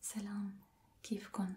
سلام كيفكن؟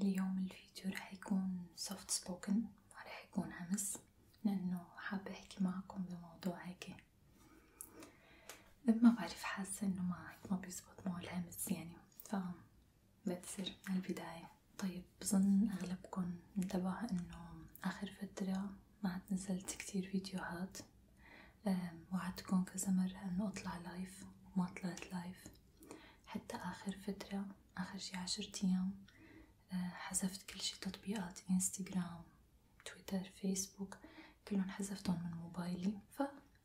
اليوم الفيديو رح يكون soft spoken ما رح يكون همس لأنه حابة أحكي معكم بموضوع هيك ما بعرف حاسة إنه ما ما بيزبط معه الهمس يعني ف بعتذر من البداية طيب بظن أغلبكن انتبه إنه آخر فترة ما عاد نزلت كتير فيديوهات وعدتكم كذا مرة إنه أطلع لايف وما طلعت لايف حتى آخر فترة آخر شي عشرة أيام آه، حذفت كل شي تطبيقات انستغرام تويتر فيسبوك كلهم حذفتهم من موبايلي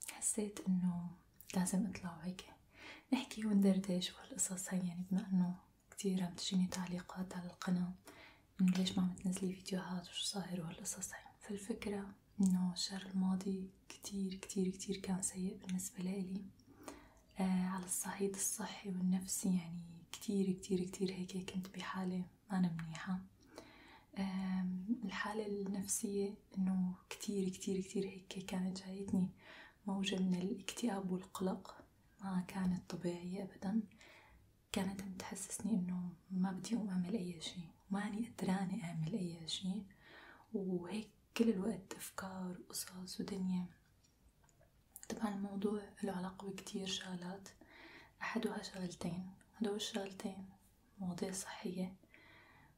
فحسيت إنه لازم أطلع وهيك نحكي وندردش وهالقصص هاي يعني بما إنه كتير عم تجيني تعليقات على القناة إنه ليش ما عم تنزلي فيديوهات وشو صاير وهالقصص هاي فالفكرة إنه الشهر الماضي كتير كتير كتير كان سيء بالنسبة لي آه على الصعيد الصحي والنفسي يعني كتير كتير كتير هيك كنت بحالة ما أنا منيحة آه الحالة النفسية إنه كتير كتير كتير هيك كانت جايتني موجة من الاكتئاب والقلق ما كانت طبيعية أبدا كانت بتحسسني إنه ما بدي أقوم أعمل أي شي وماني قدرانة أعمل أي شي وهيك كل الوقت أفكار وقصص ودنيا طبعا الموضوع له علاقة بكتير شغلات أحدها شغلتين هدول الشغلتين مواضيع صحية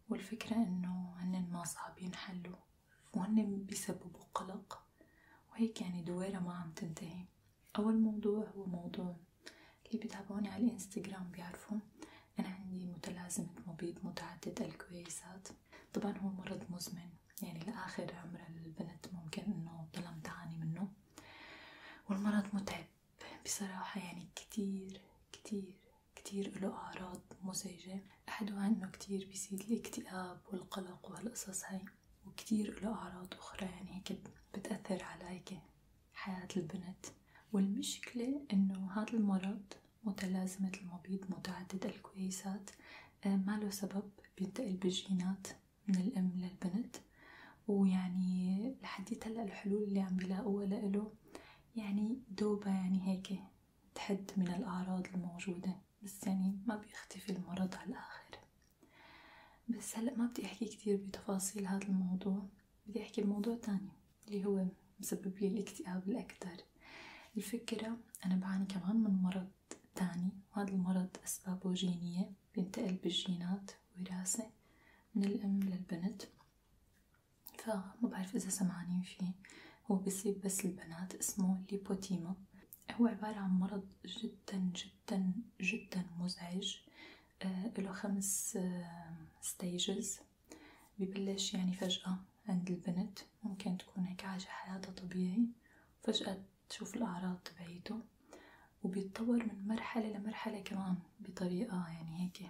والفكرة إنه هن ما صعب ينحلوا وهن بيسببوا قلق وهيك يعني دويرة ما عم تنتهي أول موضوع هو موضوع اللي بيتابعوني على الانستغرام بيعرفوا أنا عندي متلازمة مبيض متعدد الكويسات طبعا هو مرض مزمن يعني لآخر عمر البنت ممكن إنه تضل تعاني منه والمرض متعب بصراحة يعني كتير كتير كتير له أعراض مزعجة أحدها إنه كتير بيزيد الاكتئاب والقلق وهالقصص هاي وكتير له أعراض أخرى يعني هيك بتأثر على حياة البنت والمشكلة إنه هذا المرض متلازمة المبيض متعدد الكويسات آه، ما له سبب بينتقل بالجينات من الأم للبنت ويعني لحديت هلا الحلول اللي عم بيلاقوها لإله يعني دوبة يعني هيك تحد من الأعراض الموجودة بس يعني ما بيختفي المرض على الآخر بس هلا ما بدي أحكي كتير بتفاصيل هذا الموضوع بدي أحكي بموضوع تاني اللي هو مسبب لي الاكتئاب الأكتر الفكرة أنا بعاني كمان من مرض تاني وهذا المرض أسبابه جينية بينتقل بالجينات وراثة من الأم للبنت فما بعرف إذا سمعانين فيه هو بيصيب بس البنات اسمه ليبوتيما هو عبارة عن مرض جدا جدا جدا مزعج آه، له خمس ستيجز آه، ببلش يعني فجأة عند البنت ممكن تكون هيك عايشة حياتها طبيعي فجأة تشوف الأعراض تبعيته وبيتطور من مرحلة لمرحلة كمان بطريقة يعني هيك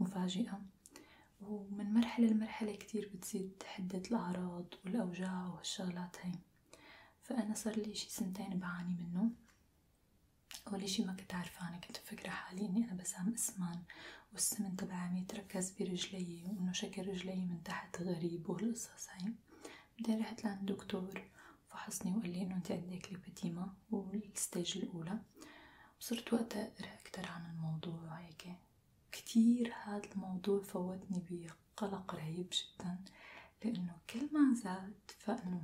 مفاجئة ومن مرحلة لمرحلة كتير بتزيد حدة الأعراض والأوجاع وهالشغلات هاي فأنا صار لي شي سنتين بعاني منه أول إشي ما كنت عارفة أنا كنت مفكرة حالي إني أنا بسام اسمان والسمن تبعي عم يتركز برجلي وإنه شكل رجلي من تحت غريب والقصص هاي بعدين رحت لعند دكتور فحصني وقال لي إنه أنت عندك ليبتيما والستيج الأولى وصرت وقتها أقرأ أكتر عن الموضوع وهيك كتير هذا الموضوع فوتني بقلق رهيب جدا لأنه كل ما زاد فإنه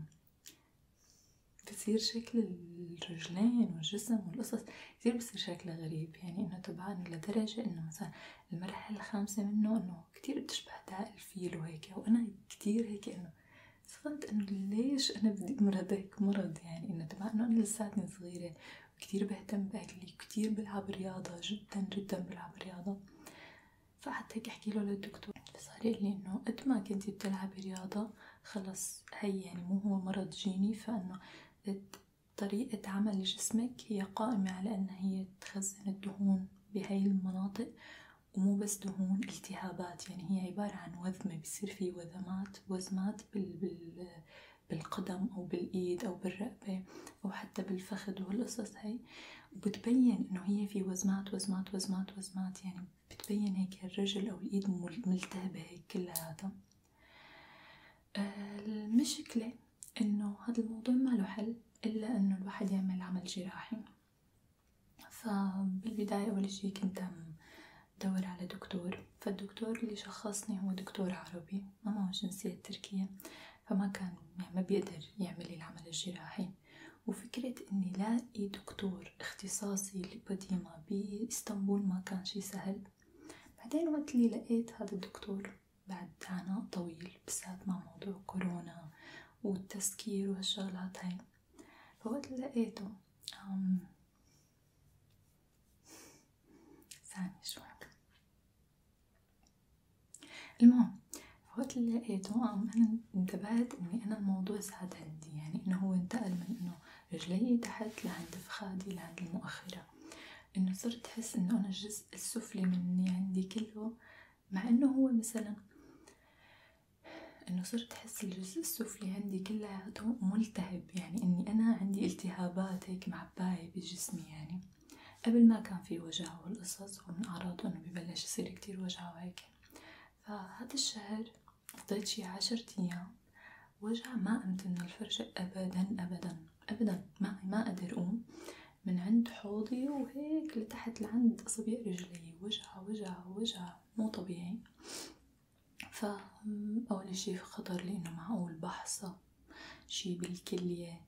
بصير شكل الرجلين والجسم والقصص كتير بصير شكلها غريب يعني انه تبعن لدرجة انه مثلا المرحلة الخامسة منه انه كتير بتشبه داء الفيل وهيك وانا كتير هيك انه صرت انه ليش انا بدي امرض هيك مرض يعني انه تبع انه انا لساتني صغيرة وكتير بهتم باكلي وكتير بلعب رياضة جدا جدا بلعب رياضة فحتى احكي له للدكتور فصار لي انه قد ما كنتي بتلعبي رياضة خلص هي يعني مو هو مرض جيني فانه طريقة عمل جسمك هي قائمة على انها هي تخزن الدهون بهي المناطق ومو بس دهون التهابات يعني هي عبارة عن وذمة بصير في وذمات وزمات بال, بال بالقدم أو بالإيد أو بالرقبة أو حتى بالفخذ وهالقصص هي وبتبين إنه هي في وزمات وزمات وزمات وزمات يعني بتبين هيك الرجل أو الإيد ملتهبة هيك كلياتها آه، المشكلة إنه هاد الموضوع ما له حل إلا إنه الواحد يعمل عمل جراحي فبالبداية أول شي كنت عم دور على دكتور فالدكتور اللي شخصني هو دكتور عربي ما معه جنسية تركية فما كان يعني ما بيقدر يعمل العمل الجراحي وفكرة اني لاقي دكتور اختصاصي لبديمة باسطنبول ما كان شي سهل بعدين وقت اللي لقيت هذا الدكتور بعد عناء طويل بالذات مع موضوع كورونا والتسكير وهالشغلات هاي فوقت اللي لقيته أم... ثانية شوي المهم فوقت اللي لقيته أنا انتبهت إني أنا الموضوع زاد عندي يعني إنه هو انتقل من إنه رجلي تحت لعند فخادي لعند المؤخرة إنه صرت أحس إنه أنا الجزء السفلي مني عندي كله مع إنه هو مثلا إنه صرت أحس الجزء السفلي عندي كلياته ملتهب يعني إني أنا عندي التهابات هيك معباية بجسمي يعني قبل ما كان في وجع وهالقصص ومن أعراضه إنه ببلش يصير كتير وجع وهيك فهذا الشهر قضيت شي عشرة أيام وجع ما قمت من الفرشة أبدا أبدا أبدا ما ما قدر أقوم من عند حوضي وهيك لتحت لعند أصابع رجلي وجع وجع وجع مو طبيعي فأول شي خطر لي إنه معقول بحصة شي بالكلية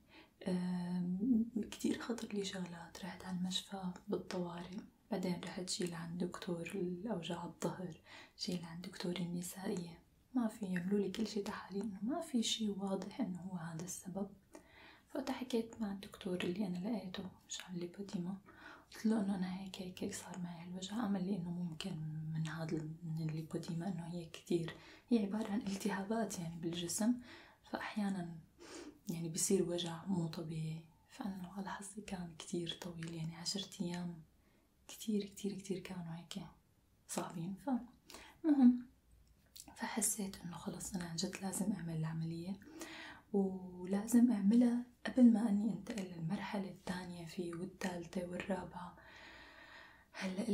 كتير خطر لي شغلات رحت على المشفى بالطوارئ بعدين رحت جيل عند دكتور الأوجاع الظهر جيل عند دكتور النسائية ما في يعملوا لي كل شي تحاليل ما في شي واضح إنه هو هذا السبب فوقتها حكيت مع الدكتور اللي أنا لقيته مشان ليبوديما قلت له إنه أنا هيك هيك هيك صار معي الوجع امل لي إنه ممكن من هذا من الليبوديما إنه هي كتير هي عبارة عن التهابات يعني بالجسم فأحيانا يعني بصير وجع مو طبيعي فأنا على حظي كان كتير طويل يعني عشرة أيام كتير كتير كتير كانوا هيك صعبين فالمهم فحسيت إنه خلص أنا عن جد لازم أعمل العملية ولازم أعملها قبل ما أني أنتقل للمرحلة الثانية فيه والثالثة والرابعة هلا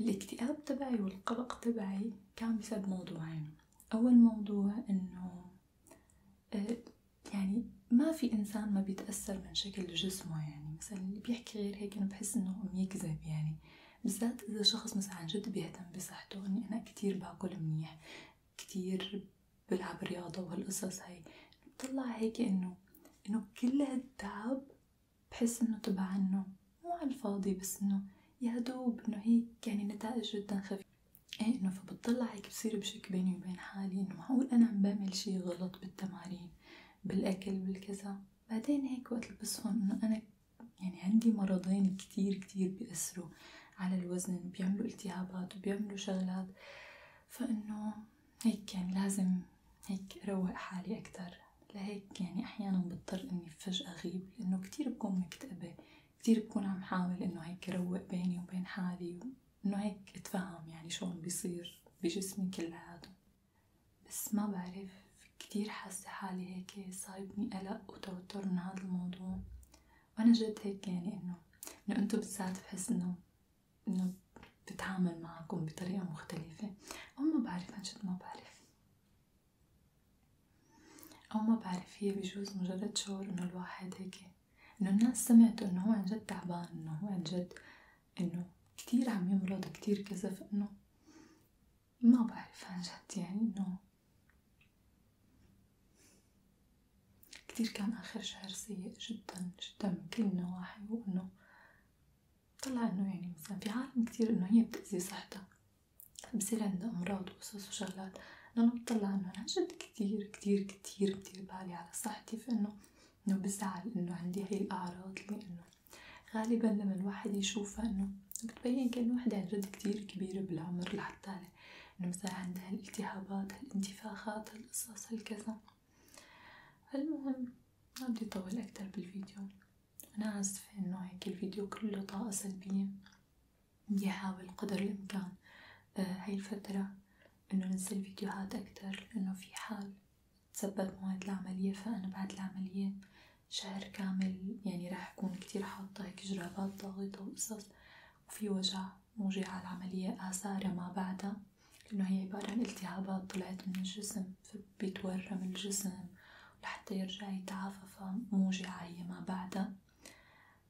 الاكتئاب تبعي والقلق تبعي كان بسبب موضوعين أول موضوع إنه آه، يعني ما في إنسان ما بيتأثر من شكل جسمه يعني مثلا اللي بيحكي غير هيك أنا بحس إنه عم يكذب يعني بالذات إذا شخص مثلا عن جد بيهتم بصحته إني أنا كتير باكل منيح كتير بلعب رياضة وهالقصص هاي بتطلع هيك إنه إنه كل هالتعب بحس إنه تبع إنه مو على الفاضي بس إنه يا دوب إنه هيك يعني نتائج جدا خفيفة ايه انه فبتطلع هيك بصير بشك بيني وبين حالي انه معقول انا عم بعمل شي غلط بالتمارين بالاكل بالكذا بعدين هيك وقت لبسهم انه انا يعني عندي مرضين كتير كتير بيأثروا على الوزن بيعملوا التهابات وبيعملوا شغلات فانه هيك يعني لازم هيك اروق حالي اكتر لهيك يعني احيانا بضطر اني فجأة اغيب لانه كتير بكون مكتئبة كتير بكون عم حاول إنه هيك روق بيني وبين حالي إنه هيك أتفهم يعني شو عم بيصير بجسمي كلياته بس ما بعرف كتير حاسة حالي هيك صايبني قلق وتوتر من هذا الموضوع وأنا جد هيك يعني إنه إنه أنتو بالذات بحس إنه إنه بتعامل معكم بطريقة مختلفة أو ما بعرف عن جد ما بعرف أو ما بعرف هي بجوز مجرد شعور إنه الواحد هيك إنه الناس سمعت إنه هو عن جد تعبان إنه هو عن جد إنه كتير عم يمرض كتير كذا فإنه ما بعرف عن جد يعني إنه كتير كان آخر شهر سيء جدا جدا من كل النواحي وإنه طلع إنه يعني مثلا في عالم كتير إنه هي بتأذي صحتها بصير عندها أمراض وقصص وشغلات أنا بطلع إنه أنا جد كتير كتير كتير بدير بالي على صحتي فإنه إنه بزعل إنه عندي هاي الأعراض اللي غالبا لما الواحد يشوفها إنه بتبين كأنه وحدة عن جد كتير كبيرة بالعمر لحتى إنه مثلا عندها هالالتهابات هالانتفاخات هالقصص هالكذا المهم ما بدي أطول أكتر بالفيديو أنا آسفة إنه هيك الفيديو كله طاقة سلبية يحاول قدر الإمكان آه، هاي الفترة إنه ننزل فيديوهات أكتر لأنه في حال تسبب موعد العملية فأنا بعد العملية شهر كامل يعني راح أكون كتير حاطة هيك جرابات ضاغطة وقصص وفي وجع موجع على العملية آثارها ما بعدها لأنه هي عبارة عن التهابات طلعت من الجسم فبيتورم الجسم لحتى يرجع يتعافى فموجعة هي ما بعدها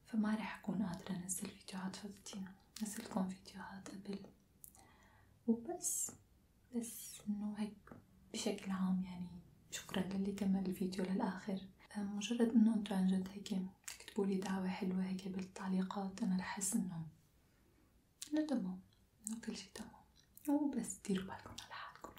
فما رح أكون قادرة أنزل فيديوهات فبدي أنزلكم فيديوهات قبل وبس بس إنه هيك بشكل عام يعني شكرا للي كمل الفيديو للآخر مجرد إنه أنتو عن جد هيك تكتبوا لي دعوة حلوة هيك بالتعليقات أنا رح أحس إنه إنه تمام إنه كل شي تمام وبس ديروا بالكم على حالكم